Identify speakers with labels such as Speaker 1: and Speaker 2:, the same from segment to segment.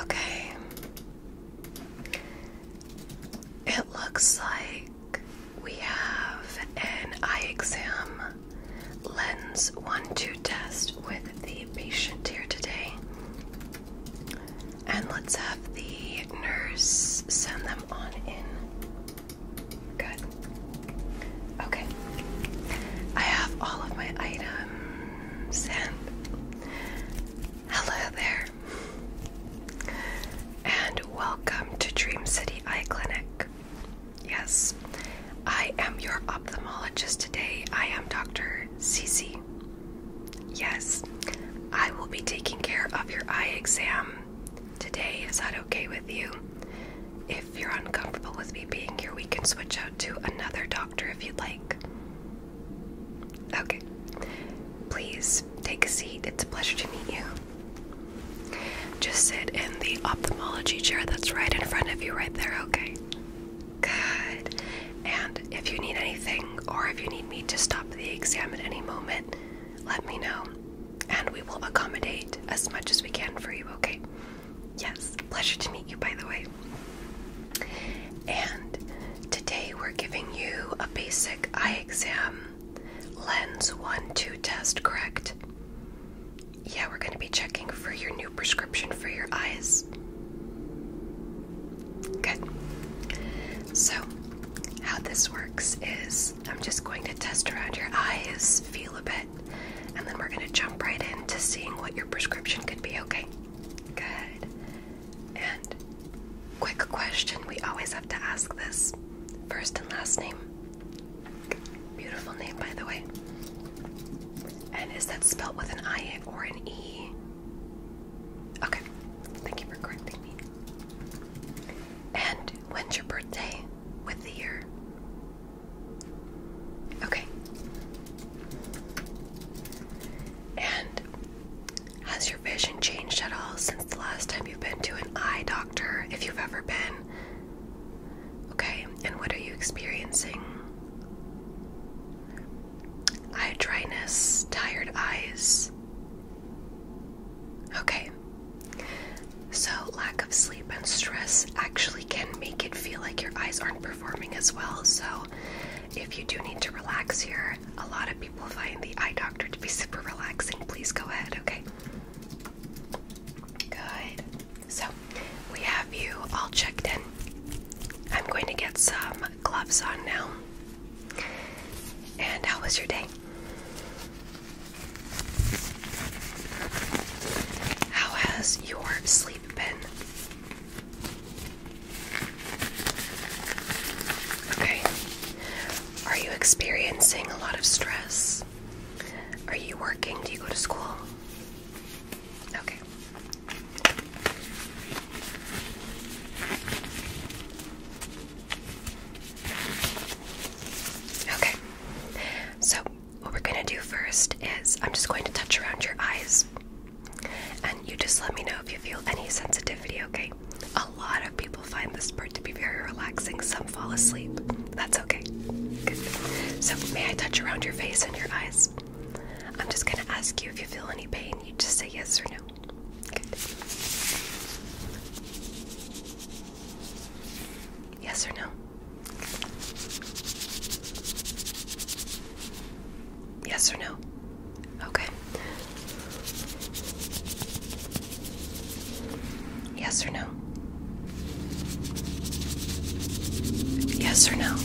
Speaker 1: Okay. It looks like we have an eye exam lens 1 2 test with the patient here today. And let's have the nurse send them on in. Good. Okay. I have all of my items and hello there. And welcome to Dream City Eye Clinic. Yes, I am your ophthalmologist today. I am Dr. Cece. Yes, I will be taking care of your eye exam today. Is that okay with you? If you're uncomfortable with me being here, we can switch out to another doctor if you'd like. Okay. Please take a seat. It's a pleasure to meet you. Just sit in the ophthalmology chair that's right in front of you, right there, okay? Good. And if you need anything or if you need me to stop the exam at any moment, let me know and we will accommodate as much as we can for you, okay? Yes, pleasure to meet you, by the way. And today we're giving you a basic eye exam lens 1 2 test, correct? Yeah, we're going to be checking for your new prescription for your eyes. Good. So, how this works is I'm just going to test around your eyes, feel a bit. And then we're going to jump right into seeing what your prescription could be, okay? Good. And quick question we always have to ask this first and last name. Beautiful name, by the way. And is that spelled with an I or an E? Okay, thank you for correcting me. And when's your birthday with the year? Okay. And has your vision changed at all since the last time you've been to an eye doctor, if you've ever been? Okay, and what are you experiencing? Eye dryness, tired eyes. Okay, so, lack of sleep and stress actually can make it feel like your eyes aren't performing as well. So, if you do need to relax here, a lot of people find the eye doctor to be super relaxing. Please go ahead, okay? Good. So, we have you all checked in. I'm going to get some gloves on now. And how was your day? How has your sleep been? Okay. Are you experiencing a lot of stress? Are you working? Do you go to school? Okay. Okay. So what we're gonna do first is I'm just going to touch around your eyes, and you just let me know if you feel any sensitivity, okay? A lot of people find this part to be very relaxing, some fall asleep. That's okay. So, may I touch around your face and your eyes? I'm just gonna ask you if you feel any pain. You just say yes or no. Yes or no? Yes or no? Okay. Yes or no? Yes or no?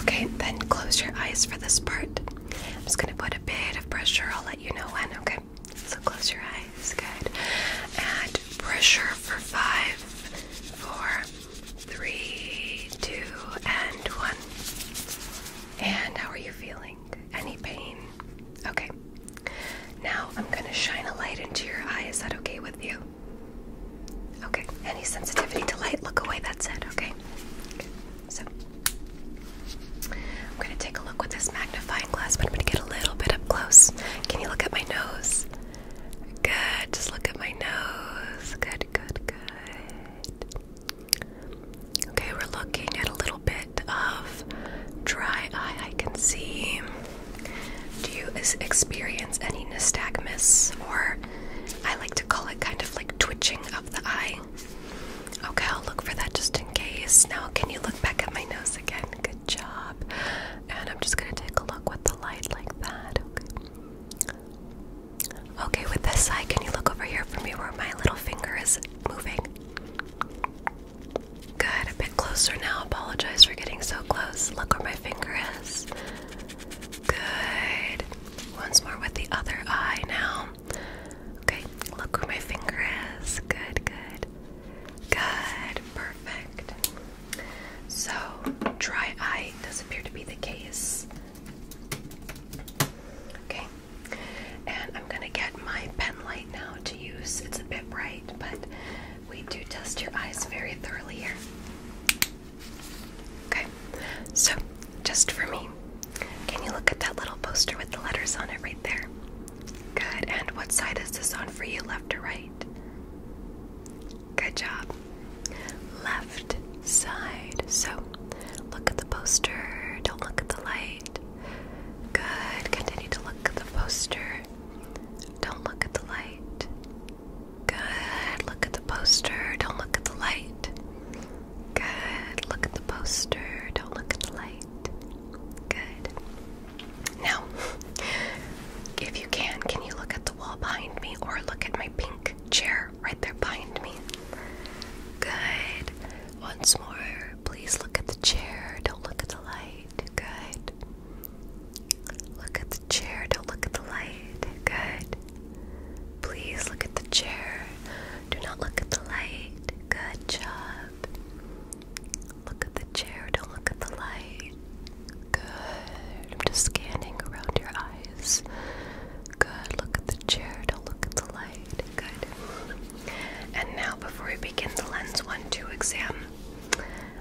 Speaker 1: Okay, then close your eyes for this part. I'm just going to put a bit of pressure. I'll let you know when, okay? so close your eyes. Good. And pressure for five, four, three, two, and one. And how are you feeling? Any pain? Okay. Now I'm going to shine a light into your eye. Is that okay with you? Okay. Any sensitivity to light? Look away. That's it. Okay. So I'm going to take a look with this magnet magnifying glass, but I'm going to get a little bit up close. Can you look at my nose? Good. Just look at my nose. Good, good, good. Okay, we're looking at a little bit of dry eye. I can see. Do you experience any nystagmus, or I like to call it kind of like twitching of the eye? Okay, I'll look for that just in case. Now, can you look back at my nose again? Good job. And I'm just gonna take a look with the light like that. Okay. Okay, with this eye, can you look over here for me where my little finger is moving? Good, a bit closer now. Apologize for getting so close. Look where my finger is. Good. Once more with the other eye now. Okay, look where my finger is. Good, good. Good, perfect. So, dry eye does not appear to be the case. Okay, and I'm gonna get my pen light now to use. It's a bit bright, but we do test your eyes very thoroughly here. Okay, so just for me, can you look at that little poster with the letters on it right there? Good. And what side is this on for you, left or right? Good job. Left side. So look at the poster. Don't look at the light. Good. Continue to look at the poster. Don't look at the light. Good. Look at the poster. Don't look at the light. Good. Look at the poster. Don't look at the light. Good. Now, if you can, can you look at the wall behind me or look at my pink chair right there behind me? Good. Once more, please look at the chair. Don't look at the light. Good. Look at the chair. Don't look at the light. Good. Please look at the chair. Do not look at the light. Good job. Look at the chair, don't look at the light. Good. I'm just scanning around your eyes. Good. Look at the chair, don't look at the light. Good. And now, before we begin the lens 1 2 exam,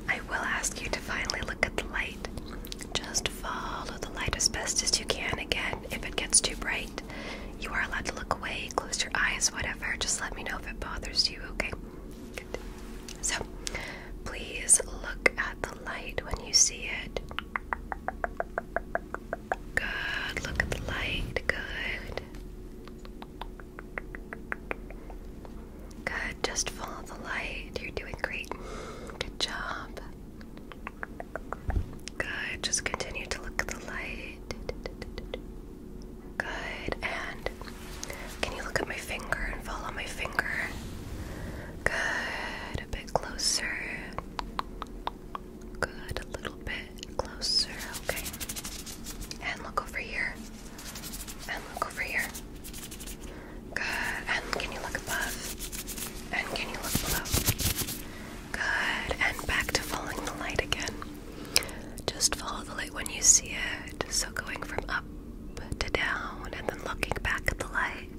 Speaker 1: I will ask you to finally look at the light. Just follow the light as best as you can. Again, if it gets too bright, you are allowed to look away, close your eyes, whatever. Just let me know if it bothers you, okay? So, please look at the light when you see it. Good. Look at the light. Good. Good. Just follow the light. You're doing great. Good job. Good. Just continue to look at the light. Good. And can you look at my finger and follow my finger? Good. A bit closer. Good. A little bit closer. Okay. And look over here. And look over here. Good. And can you look above? And can you look below? Good. And back to following the light again. Just follow the light when you see it. So going from up to down and then looking back at the light.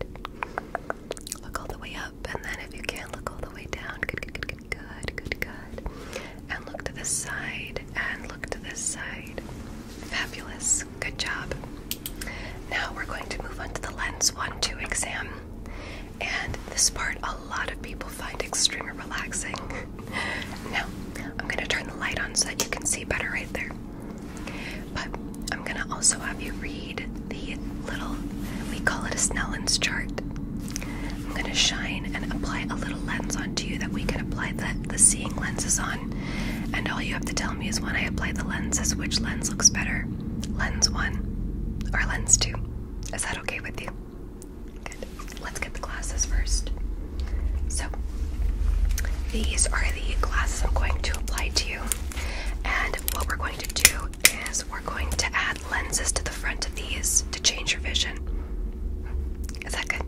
Speaker 1: Look all the way up and then if you can look all the way down. Good, good, good, good, good, good, And look to this side and look to this side. Fabulous. Good job. Now we're going to move on to the lens 1-2 exam. And this part a lot of people find extremely relaxing now, I'm going to turn the light on so that you can see better right there. But I'm going to also have you read the little, we call it a Snellen's chart. I'm going to shine and apply a little lens onto you that we can apply the, the seeing lenses on. And all you have to tell me is when I apply the lenses, which lens looks better? Lens 1 or lens 2? Is that okay with you? Let's get the glasses first. So, these are the glasses I'm going to apply to you. And what we're going to do is we're going to add lenses to the front of these to change your vision. Is that good?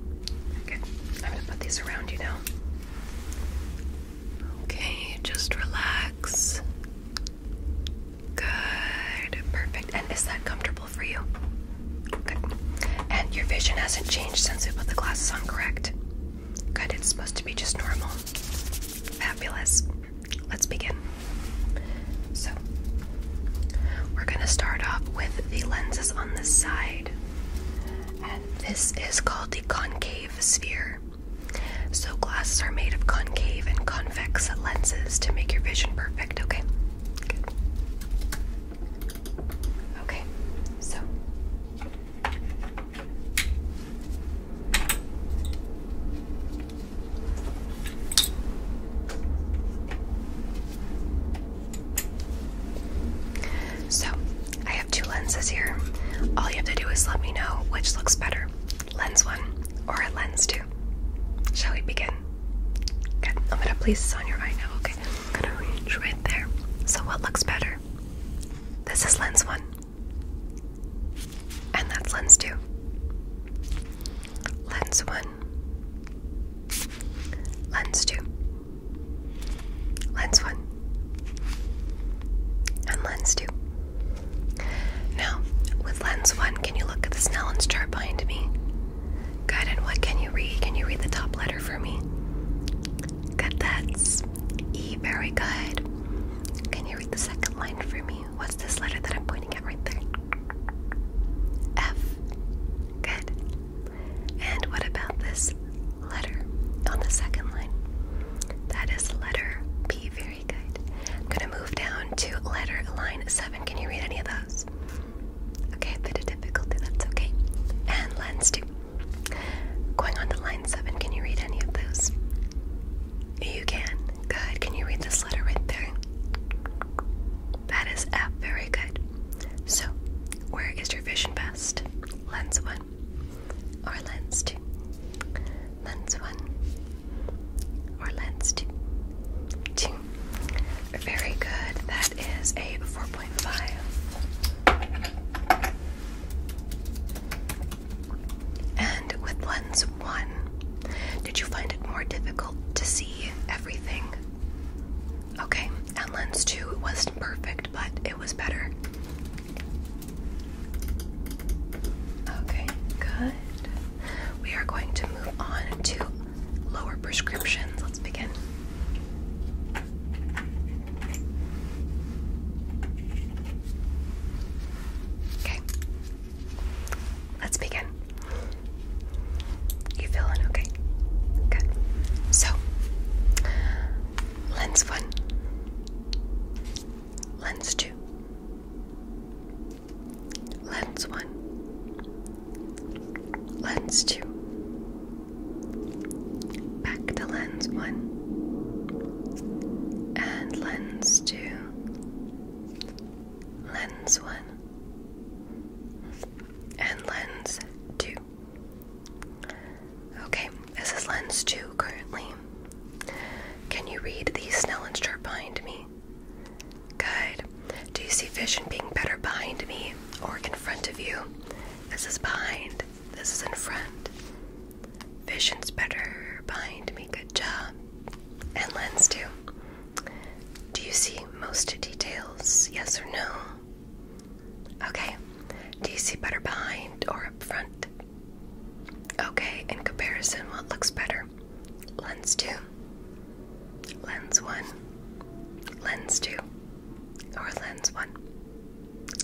Speaker 1: Good. I'm going to put these around you now. Okay, just relax. Good. Perfect. And is that comfortable? for you? Good. And your vision hasn't changed since we put the glasses on, correct? Good, it's supposed to be just normal. Fabulous. Let's begin. So, we're going to start off with the lenses on the side. And this is called the concave sphere. So, glasses are made of concave and convex lenses to make your vision perfect, okay? Good. Okay, so so I have two lenses here. All you have to do is let me know which looks better, lens one or lens two. Shall we begin? Good. I'm gonna place this on your eye now. Okay right there. So, what looks better? This is lens one, and that's lens two. Lens one, lens two, lens one, and lens two. Now, with lens one, can you look at the Snellen's chart behind me? Good, and what can you read? Can you read the top letter for me? Good, that's E. Very good. Can you read the second line for me? What's this letter that I'm pointing at right there? F. Good. And what about this letter on the second line? That is letter P. Very good. I'm going to move down to letter line 7. Can you read any of those? Okay, a bit of difficulty, that's okay. And lens two. Going on to line seven, can you read any of those? You can. Good. Can you read this letter right there? That is F. Very good. So, where is your vision best? Lens one or lens two? Lens one or lens two? Two. Very good. That is a 4.5. And with lens 1, did you find it more difficult to see everything? Okay, and lens 2 it wasn't perfect, but it was better. Okay, good. We are going to move on to lower prescriptions. Let's begin. Okay. Let's begin. You feeling okay? Good. So, lens one, lens two, lens one, Lens 2. Back to lens 1. And lens 2. Lens 1. And lens 2. Okay, this is lens 2 currently. Can you read the Snellen chart behind me? Good. Do you see vision being better behind me or in front of you? This is behind. This is in front. Vision's better behind me. Good job. And lens too. Do you see most details? Yes or no? Okay. Do you see better behind or up front? Okay. In comparison, what looks better? Lens too lens 1, lens 2, or lens 1.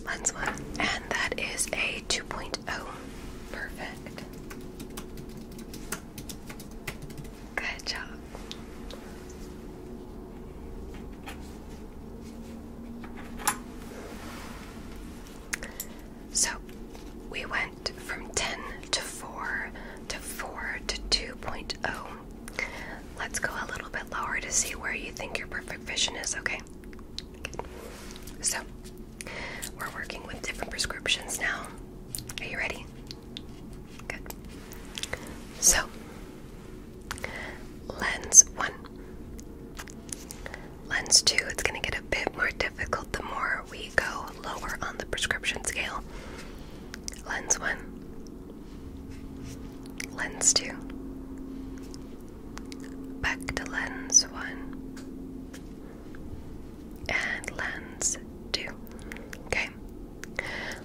Speaker 1: Lens 1. And that is a 2.0. Perfect. Good job. So we went from 10 to 4 to 4 to 2.0 Let's go a little bit lower to see where you think your perfect vision is, okay? So, we're working with different prescriptions now. Are you ready? Good. So, lens one. Lens two, it's going to get a bit more difficult the more we go lower on the prescription scale. Lens one, Lens 2. Back to lens 1. And lens 2. Okay.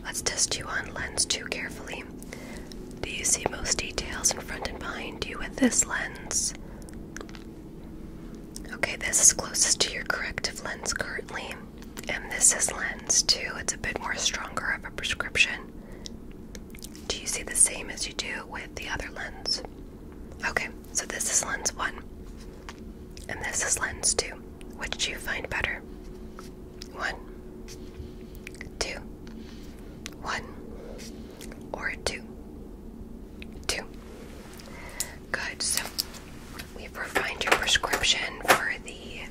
Speaker 1: Let's test you on lens 2 carefully. Do you see most details in front and behind you with this lens? Okay, this is closest to your corrective lens currently. And this is lens two. It's a bit more stronger of a prescription. Do you see the same as you do with the other lens? Okay, so this is lens one. And this is lens two. Which do you find better? One, two, one, or two, two. Good, so We've refined your prescription for the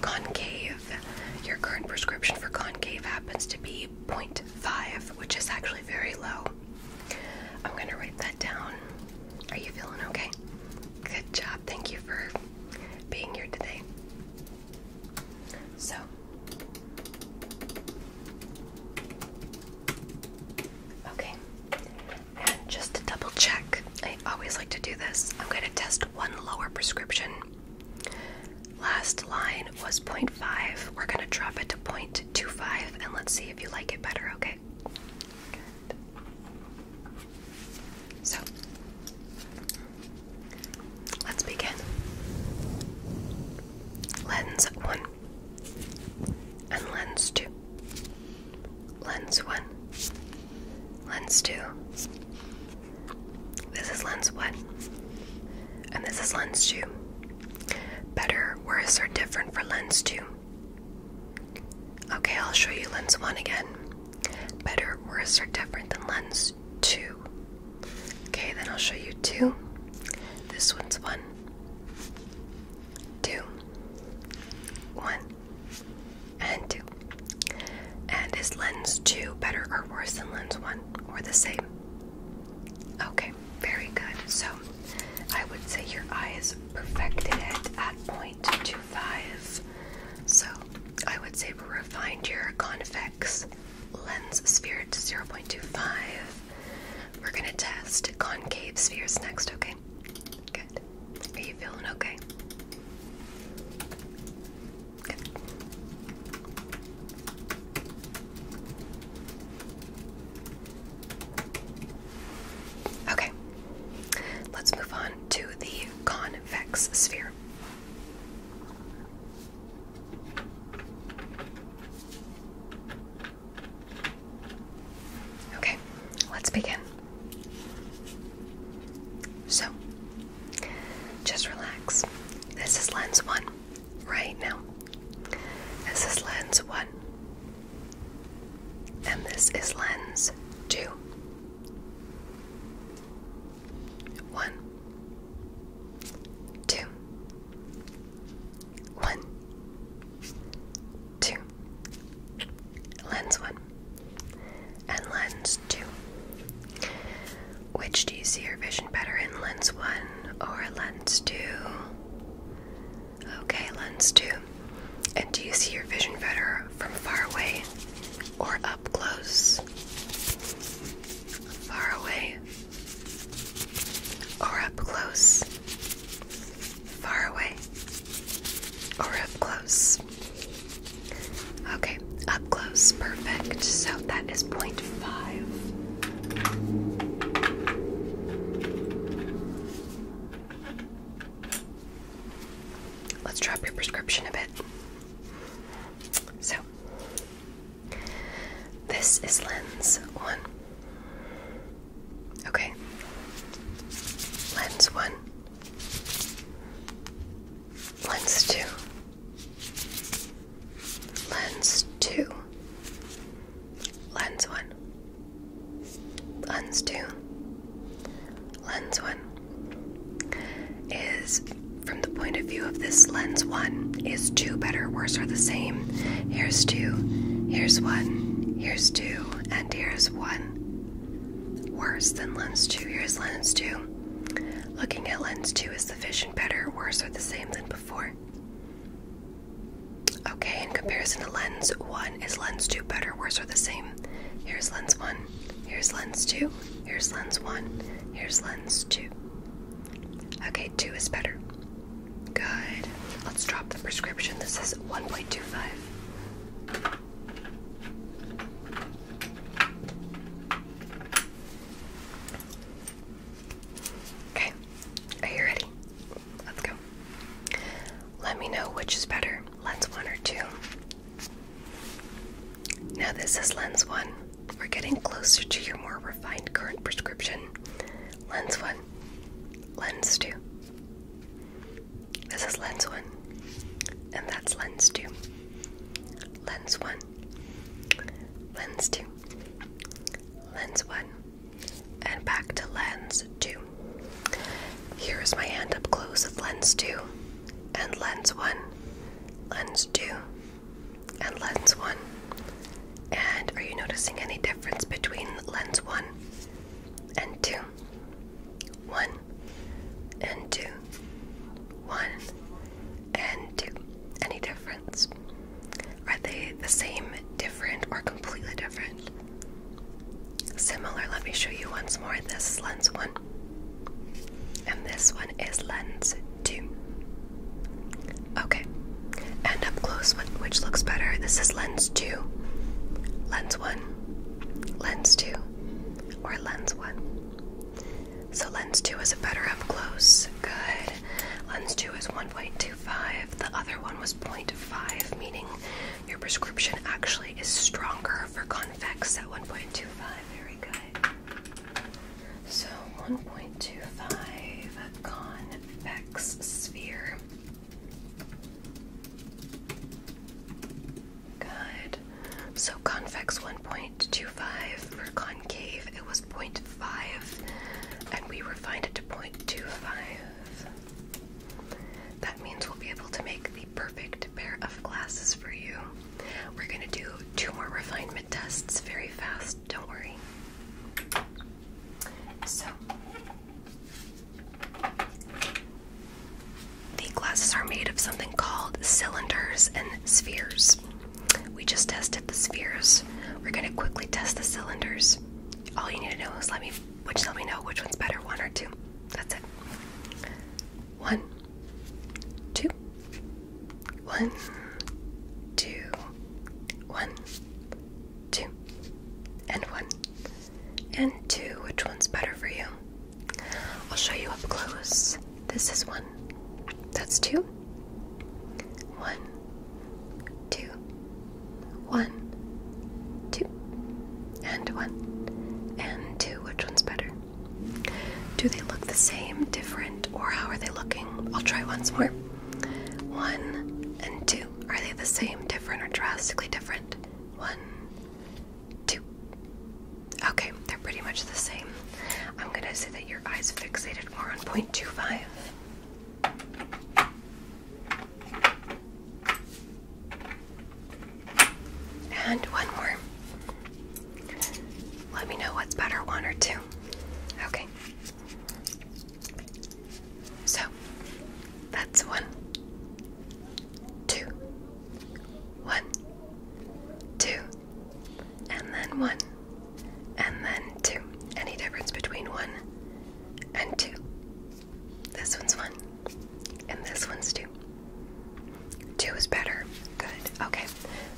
Speaker 1: concave. Your current prescription for concave happens to be point five, which is actually very low. I'm going to write that down. Are you feeling okay? Good job. Thank you for being here today. So, okay. And just to double check, I always like to do this. I'm going to test one lower prescription. Last line was 0.5. We're going to drop it to 0.25 and let's see if you like it better, okay? So, let's begin. Lens 1 and lens 2. Lens 1. Lens 2. This is lens 1. And this is lens 2. Better, worse, or different for lens 2. Okay, I'll show you lens 1 again. Better, worse, or different than lens 2. Okay, then I'll show you 2. This one's 1. 2. 1 and 2. And is lens 2 better or worse than lens 1 or the same? Okay, very good. So I would say your eyes perfected it at 0.25. So I would say we refined your convex lens sphere to 0.25. We're going to test concave spheres next, okay? Are you feeling okay? Okay. Let's move on to the convex sphere. Okay, let's begin. So, just relax. This is lens one right now. This is lens one. And this is lens two. One, two, one, two. Lens one and lens 2. Which do you see your vision better in, lens 1 or lens 2? Okay, lens 2. And do you see your vision better from far away or up close? Far away or up close? Far away or up close? Okay, up close, perfect. So that is is Let's drop your prescription a bit. So, this is lens one. Okay, lens one. Lens 2. Lens 2. Lens 1. Lens 2. Lens 1 is, from the point of view of this lens 1, is 2 better, worse, or the same? Here's 2, here's 1, here's 2, and here's 1. Worse than lens 2. Here's lens 2. Looking at lens 2, is the vision better worse or the same than before? Okay, in comparison to lens 1, is lens 2 better, worse, or the same? Here's lens 1, here's lens 2, here's lens 1, here's lens 2. Okay, 2 is better. Good. Let's drop the prescription. This is 1.25. Okay, are you ready? Let's go. Let me know which is better, lens one or two. Now, this is lens one. We're getting closer to your more refined current prescription. Lens one, lens two. This is lens one, and that's lens two. Lens one, lens two, lens one, and back to lens two. Here is my hand up close with lens two, and lens one, lens two, and lens one. And are you noticing any difference between lens one and two? One and two. One and two. Any difference? Are they the same, different, or completely different? Similar. Let me show you once more. This lens one, and this one is lens two. Okay. And up close, which looks better? This is lens two, lens one, lens two, or lens 1. So lens 2 is a better up close. Good. Lens 2 is 1.25. The other one was 0.5, meaning your prescription actually is stronger for convex at 1.25. Very good. So 1.25 convex sphere. Good. So convex 1.25 for concave it was 0.5 and we refined it to 0.25. That means we'll be able to make the perfect pair of glasses for you. We're going to do two more refinement tests very fast, don't worry. So the glasses are made of something called cylinders and spheres. We just tested the spheres. We're going to quickly test the cylinders. All you need to know is let me which let me know which one's better, one or two. That's it. One, two, one, two, one, two, and one, and two. Which one's better for you? I'll show you up close. This is one. That's two. One, two, one, two, and one, and two. Which one's better? Do they look the same, different, or how are they looking? I'll try once more. One and two. Are they the same, different, or drastically different? One, two. Okay, they're pretty much the same. I'm gonna say that your eyes fixated more on point two five. And one more. Let me know what's better, one or two. Okay. So that's one, two, one, two, and then one, and then two. Any difference between one and two? This one's one, and this one's two. Two is better. Good. Okay.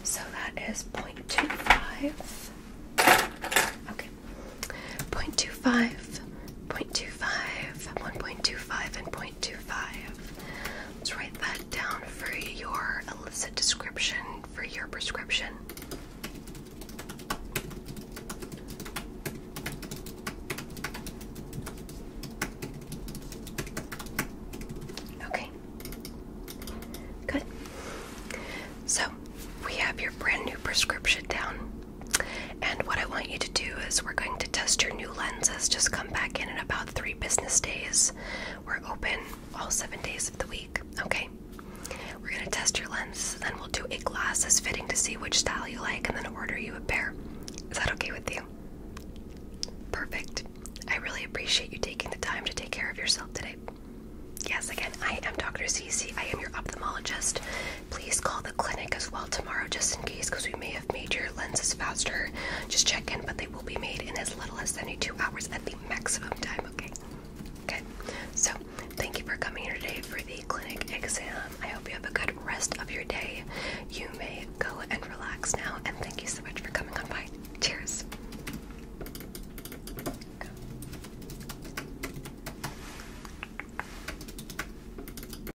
Speaker 1: So that is 0.25. Okay. 0.25 0.25, 1.25, and 0.25. Let's write that down for your illicit description for your prescription. Okay. Good. So we have your brand new prescription down. And what I want you to do is we're going to test your new lenses. Just come back in in about three business days. We're open all seven days of the week. Okay. We're going to test your lenses, then we'll do a glasses fitting to see which style you like, and then order you a pair. Is that okay with you? Perfect. I really appreciate you taking the time to take care of yourself today. Yes, again, I am Dr. Cece. I am your ophthalmologist. Please call the clinic as well tomorrow just in case because we may have made your lenses faster. Just check in, but they will be made in as little as 72 hours at the maximum time, okay? Okay, so thank you for coming here today for the clinic exam. I hope you have a good rest of your day. You may go and relax now, and thank you so much for coming on by. Cheers.